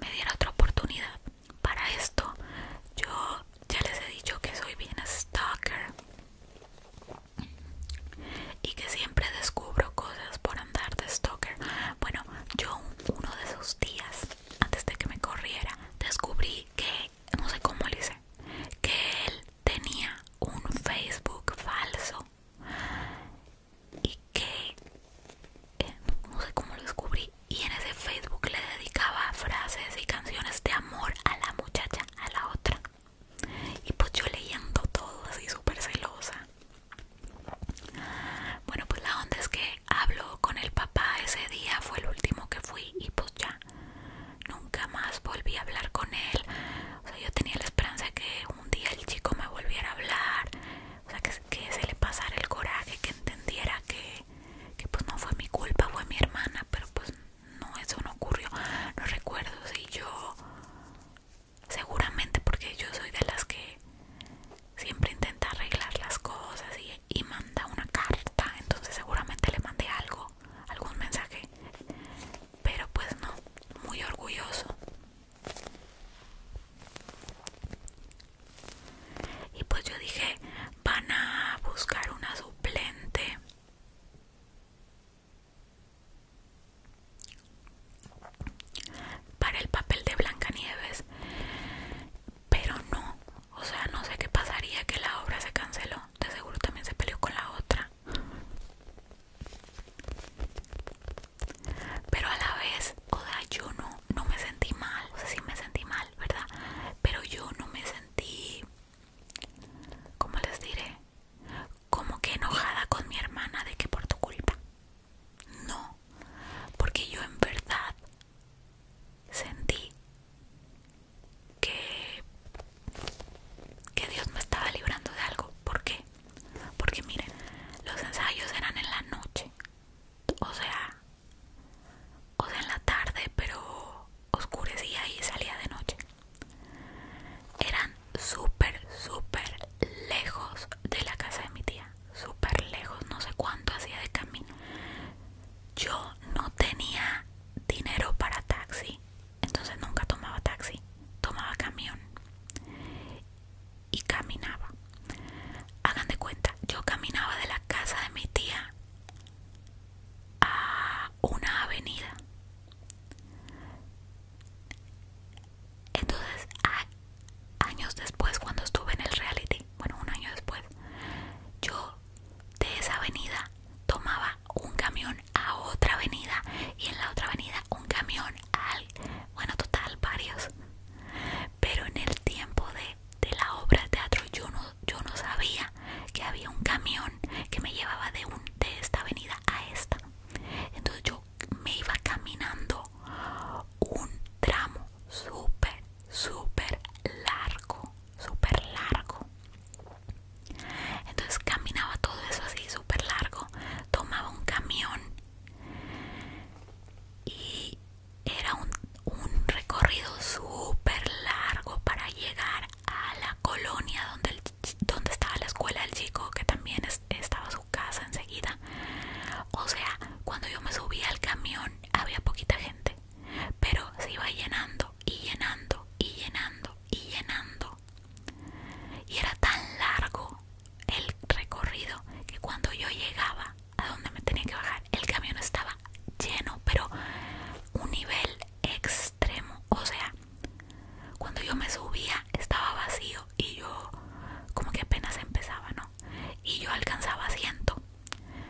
me dieron otra oportunidad para esto yo ya les he dicho que soy bien stalker y que siempre descubro cosas por andar de stalker bueno yo uno de esos días antes de que me corriera descubrí que no sé cómo le hice que él tenía un Facebook falso y que eh, no sé cómo lo descubrí y en ese Facebook le dedicaba frases y canciones de amor a la muchacha, a la otra y pues yo leyendo todo así súper celosa bueno pues la onda es que habló con el papá ese día fue el último que fui y pues ya nunca, más volví a hablar con él. O sea, yo tenía la esperanza de que un día el chico me volviera a hablar, o sea, que, se le pasara el coraje, que entendiera que, que pues no fue mi culpa, fue mi hermana, pero pues no, eso no ocurrió. No recuerdo si yo, seguramente porque yo soy de las que siempre intenta arreglar las cosas y manda una carta, entonces seguramente le mandé algo, algún mensaje pero pues no, muy orgulloso. Y pues yo dije, van a buscar una suplente. Para el papel de Blancanieves, pero no, o sea, no sé qué pasaría que la obra se canceló. De seguro también se peleó con la otra. Pero a la vez, oda yo no, no me sentí mal, o sea, sí me sentí mal, ¿verdad? Pero yo no me sentí, ¿cómo les diré? Como que enojada con mi hermana de que por tu culpa. No, porque yo en verdad sentí que, que Dios me estaba librando de algo. ¿Por qué? Porque miren, los ensayos eran en la noche. O sea, o sea, en la tarde, pero oscurecía y salía de noche. Eran súper, súper lejos de la casa de mi tía. Súper lejos, no sé cuánto hacía de camino. Yo no tenía dinero para taxi. Entonces nunca tomaba taxi, tomaba camión y caminaba. Hagan de cuenta, yo caminaba de la casa de mi tía a una avenida. Entonces, años después, cuando estuve en el reality, bueno, un año después, yo de esa avenida tomaba un camión a otra avenida y en la otra avenida un camión al bueno total varios pero en el tiempo de, de la obra de teatro yo no sabía que había un camión que me llevaba de un de esta avenida a esta entonces yo me iba caminando un tramo súper súper largo súper largo. Entonces caminaba todo eso así súper largo, tomaba un camión y era un, recorrido súper largo para llegar a la colonia donde, donde estaba la escuela del chico, que también estaba su casa enseguida. O sea, cuando yo me subía al camión había poquita gente pero se iba llenando y llenando y llenando y llenando. Y era tan largo el recorrido que cuando yo llegaba a donde me tenía que bajar, el camión estaba lleno, pero un nivel extremo. O sea, cuando yo me subía estaba vacío y yo como que apenas empezaba, ¿no? Y yo alcanzaba asiento.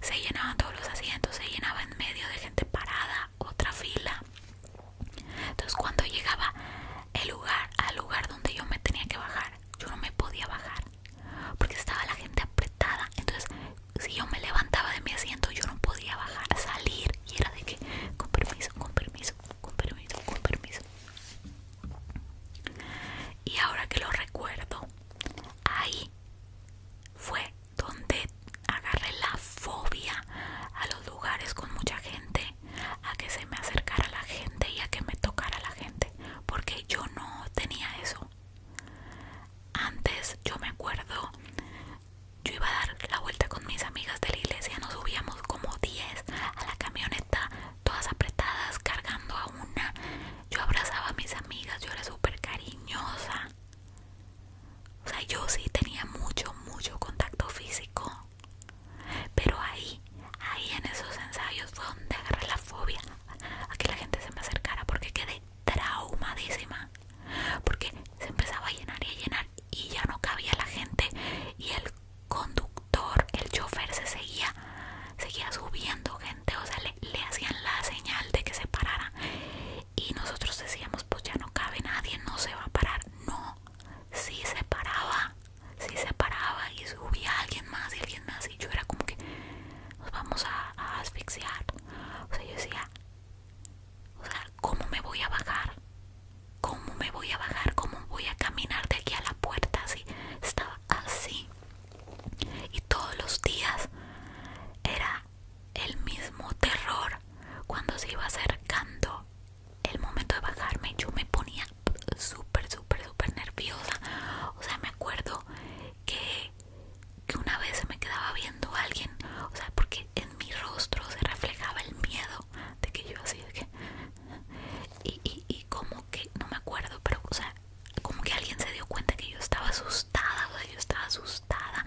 Se llenaban todos los asientos, se llenaba en medio de gente parada, otra fila. Entonces cuando llegaba el lugar al lugar donde yo me tenía que bajar, yo no me podía bajar porque estaba la gente apretada. Entonces si yo me levantaba de mi asiento, yo no podía bajar, salir y era de que con permiso, con permiso, con permiso, con permiso. Y ahora que lo recuerdo, ahí fue donde agarré la fobia a los lugares con mucha gente, a que se me acercara la gente y a que me tocara la gente, porque yo no tenía eso. Antes yo me acuerdo, yo iba a dar la vuelta con mis amigas de la iglesia, nos subíamos como 10 a la camioneta, todas apretadas, cargando a una. Yo abrazaba a mis amigas, yo era súper cariñosa. O sea, yo sí tenía mucho, mucho contacto físico. Pero ahí, ahí en esos ensayos fue donde agarré la fobia a que la gente se me acercara porque quedé traumadísima. Porque se empezaba a llenar y a llenar y ya no cabía la gente y el conductor, el chofer se seguía, seguía subiendo gente, o sea, le, le hacían la señal de que se parara y nosotros decíamos pues ya no cabe nadie, no se va a parar, no, sí se paraba, sí se paraba y subía alguien más y alguien más y yo era como que nos vamos a, asfixiar, o sea yo decía, o sea, ¿cómo me voy a bajar? ¿Cómo me voy a bajar? ¿Cómo voy a caminar de aquí a la puerta? Así, estaba así. Y todos los días era el mismo terror cuando se iba acercando el momento de bajarme yo me ponía súper súper súper nerviosa o sea me acuerdo que, que una vez se me quedaba viendo alguien o sea porque en mi rostro se reflejaba el miedo de que yo así de que y, y, y como que no me acuerdo pero o sea como que alguien se dio cuenta que yo estaba asustada, o yo estaba asustada.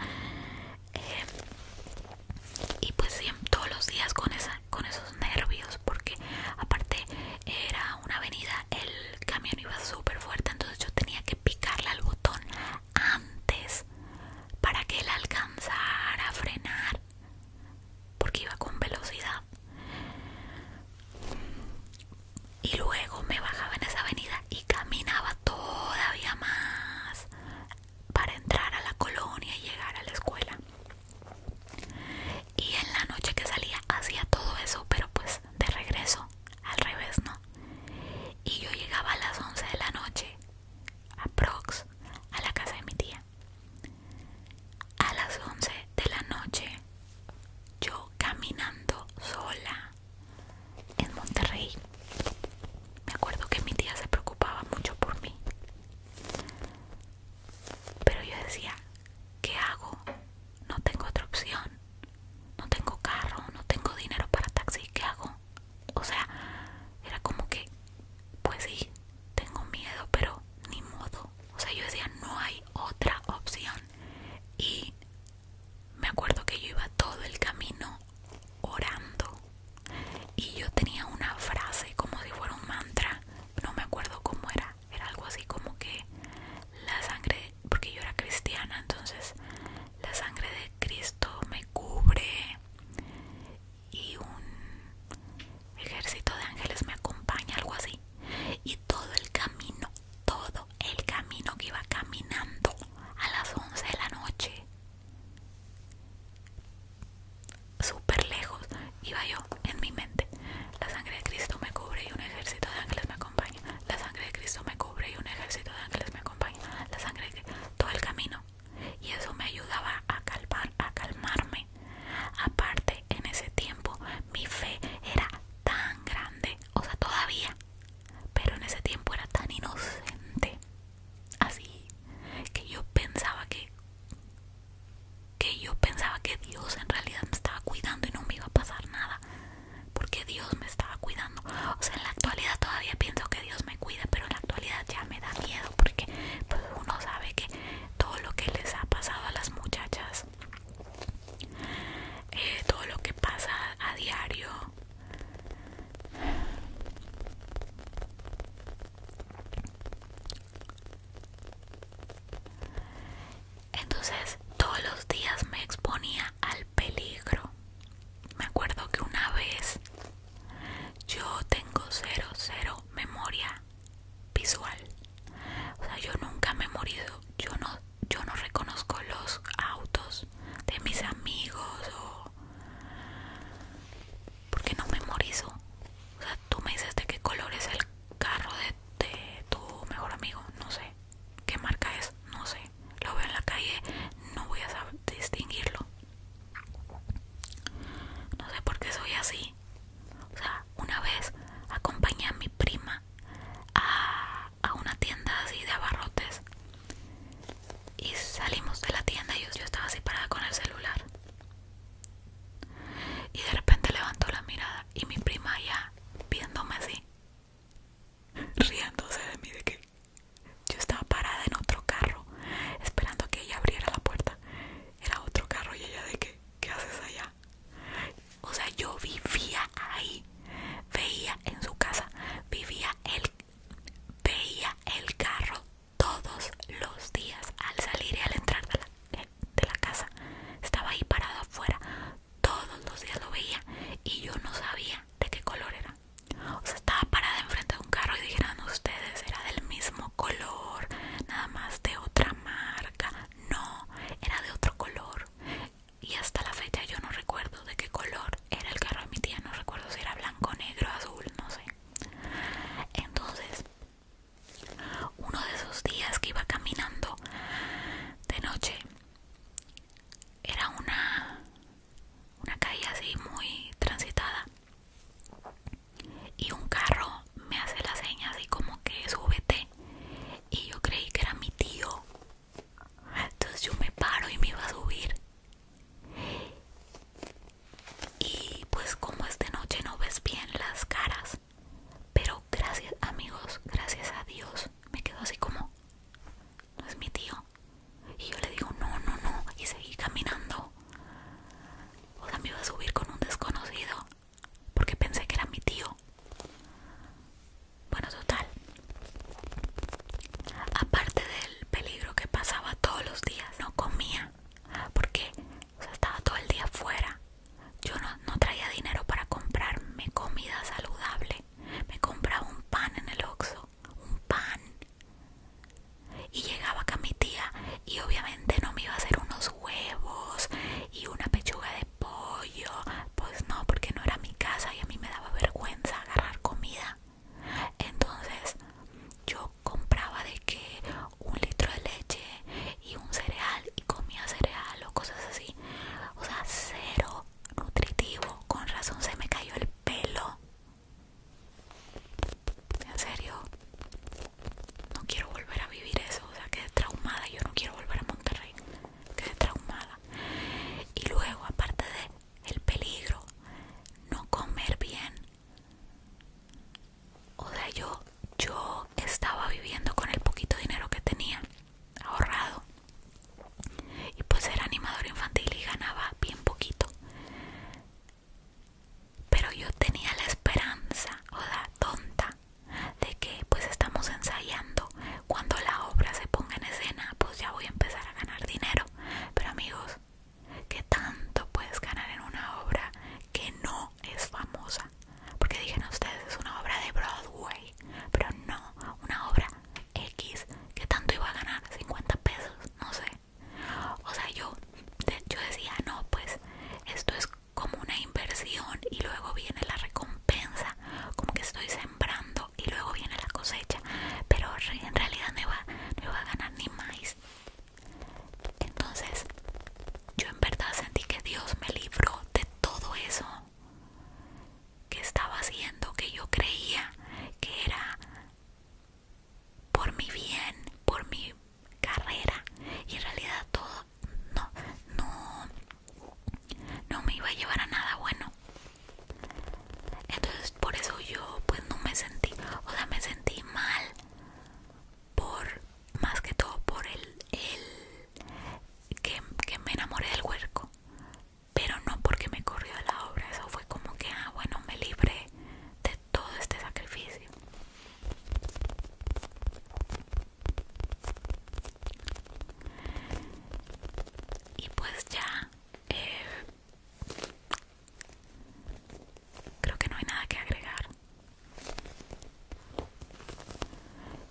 Eh, y pues todos los días con, con esos nervios, porque aparte era una avenida, el camión iba súper fuerte, entonces yo tenía que picarle al botón antes para que él alcanzara a frenar, porque iba con velocidad y luego me bajaba en esa avenida y caminaba todavía más para entrar a la colonia y llegar a la escuela. Y en la noche que salía hacía todo eso, pero pues de regreso, al revés, ¿no? Y yo llegaba a las 11 de la noche, a Prox, a la casa de mi tía. A las 11 de la noche, yo caminando sola en Monterrey. Me acuerdo que mi tía se preocupaba mucho por mí. Pero yo decía, ¿qué hago? No tengo otra opción. No tengo carro, no tengo dinero para taxi, ¿qué hago? O sea, era como que, pues sí, tengo miedo, pero ni modo. O sea, yo decía, no hay otra opción. Y me acuerdo que yo iba todo el camino orando y yo tenía una frase como si fuera un mantra, no me acuerdo cómo era, era algo así como que la sangre, porque yo era cristiana, entonces la sangre de Cristo me cubre y un ejército de ángeles me acompaña, algo así y todo el camino, todo el camino que iba caminando a las 11 de la noche, súper lejos, iba yo en mi mente. La sangre de Cristo me cubre y un ejército de ángeles me acompaña. La sangre de Cristo me cubre y un ejército de ángeles me acompaña. La sangre de todo el camino. Y eso me ayudaba a calmar, a calmarme. Aparte, en ese tiempo mi fe era tan grande o sea todavía pero en ese tiempo era tan inocente así que yo pensaba que que yo pensaba que Dios en realidad me estaba cuidando y no me iba a pasar nada porque Dios me estaba cuidando o sea en la actualidad todavía pienso que Dios me cuida pero en la actualidad ya me da miedo porque pues, uno sabe que todo lo que les ha pasado a las muchachas eh, todo lo que pasa a diario entonces todos los días me exponía al peligro me acuerdo que una vez yo tengo cero cero memoria visual o sea yo nunca he morido yo no yo no reconozco los autos de mis amigos o porque no memorizo. O sea, tú me dices de qué color es el carro de, de tu mejor amigo, no sé. ¿Qué marca es? No sé. Lo veo en la calle, no voy a saber distinguirlo. No sé por qué soy así. O sea, una vez acompañé a mi prima a, una tienda así de abarrotes y salimos de la tienda y yo, estaba así parada con el celular. Y de repente levanto la mirada y mi prima ya viéndome así, riéndose de mí de que yo estaba parada en otro carro esperando que ella abriera la puerta. Era otro carro y ella de que, ¿qué haces allá? O sea, yo vivía ahí, veía en su casa, vivía el, veía el carro todos los días al salir y al entrar de la, la casa. Estaba ahí parado afuera, todos los días lo veía y yo no sabía de qué color era. O sea, estaba parada enfrente de un carro y dijeran ustedes, era del mismo color, nada más de otra marca, no, era de otro color y hasta la fecha yo no recuerdo de qué color era el carro de mi tía, no recuerdo si era blanco, negro, azul, no sé. Entonces, uno de esos días que iba caminando de noche, era una, una calle así muy transitada y un carro me hace la seña así como que súbete y yo creí que era mi tío. Entonces yo me paro y me iba a subir. Y pues como es de noche no ves bien las caras. Pero gracias amigos, gracias a Dios, me quedo así como, no es mi tío. Y yo le digo, no, no, no. Y seguí caminando. O sea, me iba a subir con un desconocido porque pensé que era mi tío. Bueno, total. Aparte del peligro que pasaba todos los días, no comía porque estaba todo el día fuera. Yo no, traía dinero para comprarme comida saludable. Me compraba un pan en el Oxxo, un pan. Y llegaba acá mi tía y obviamente no me iba a hacer unos huevos y una pechuga de pollo, pues no, porque no era mi casa y a mí me daba vergüenza agarrar comida. Entonces yo compraba de que un litro de leche y un cereal y comía cereal o cosas así. O sea, cero nutritivo. Con razón se me cayó el pelo. En serio, no quiero volver a vivir eso, o sea, quedé traumada, yo no quiero volver a Monterrey, quedé traumada. Y luego, aparte de el peligro, no comer bien. O sea, yo, yo estaba viviendo con el poquito dinero que tenía ahorrado. Y pues era animador infantil y ganaba bien poquito pero yo tenía la esperanza, o la tonta, de que pues estamos ensayando, cuando la obra se ponga en escena, pues ya voy a empezar a ganar dinero. Pero amigos, ¿qué tanto puedes ganar en una obra que no es famosa? Porque dijeron ustedes, es una obra de Broadway, pero no, una obra X, ¿qué tanto iba a ganar? 50 pesos, no sé. O sea, yo, yo decía, no, pues esto es como una inversión y luego viene la recompensa, como que estoy sembrando y luego viene la cosecha, pero en realidad no iba, a ganar ni más. Entonces, yo en verdad sentí que Dios me libró de todo eso que estaba haciendo, que yo creía que era por mi bien, por mi carrera y en realidad todo no no no me iba a llevar a nada bueno entonces por eso yo pues no me sentí o sea me sentí mal por más que todo por el, el que, me enamoré del huerco pero no porque me corrió la obra eso fue como que ah bueno me libre de todo este sacrificio. Y pues ya, eh, creo que no hay nada que agregar.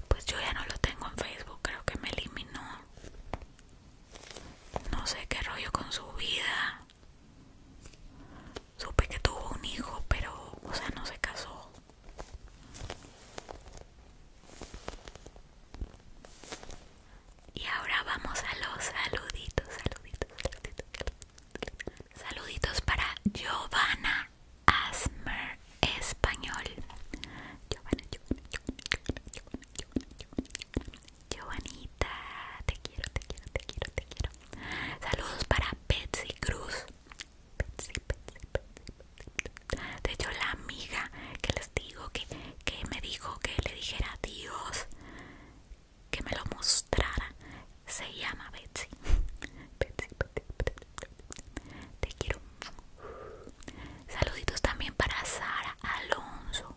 Pues yo ya no lo tengo en Facebook, creo que me eliminó. No sé qué rollo con su vida. Supe que tuvo un hijo, pero, o sea, no se casó. Y ahora vamos a los saluditos, saluditos, saluditos. Saluditos para Giovanna Asmer Español. Giovanna, Giovanna, te quiero, te quiero, te quiero, te quiero. Saludos para Betsy Cruz. De hecho, la amiga que les digo que, me dijo que le dijera Dios que me lo mostrara, se llama Betsy. Betsy. Te quiero. Saluditos también para Sara Alonso.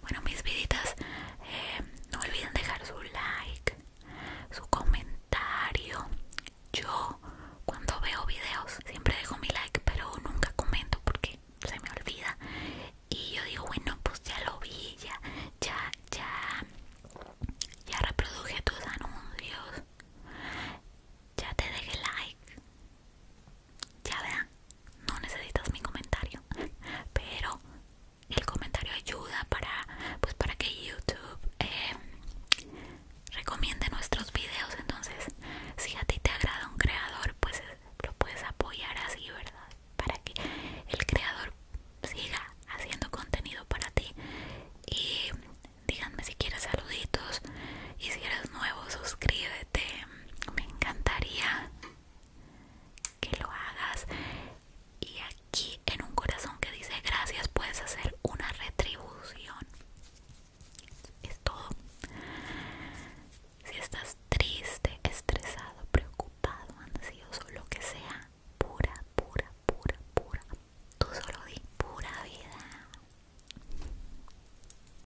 bueno, mis viditas, eh, no olviden dejar su like, su comentario. Yo, cuando veo videos, siempre dejo mi like, pero nunca comento porque se me olvida. Y yo digo, bueno, pues ya lo vi, ya, ya, ya, ya reproduje tus anuncios, ya te dejé like ya vean no necesitas mi comentario, pero el comentario ayuda para, pues para que YouTube em, recomiende nuestros videos. Entonces, si a ti te agrada un creador, pues eh, lo puedes apoyar así, ¿verdad? Para que el creador siga haciendo contenido para ti. Y díganme si quieres saluditos y si eres nuevo, suscríbete este, me encantaría que lo hagas. Y aquí en un corazón que dice gracias puedes hacer una retribución. Es todo. Si estás triste, estresado, preocupado, ansioso, lo que sea, pura, pura, pura, pura. Tú solo di pura vida.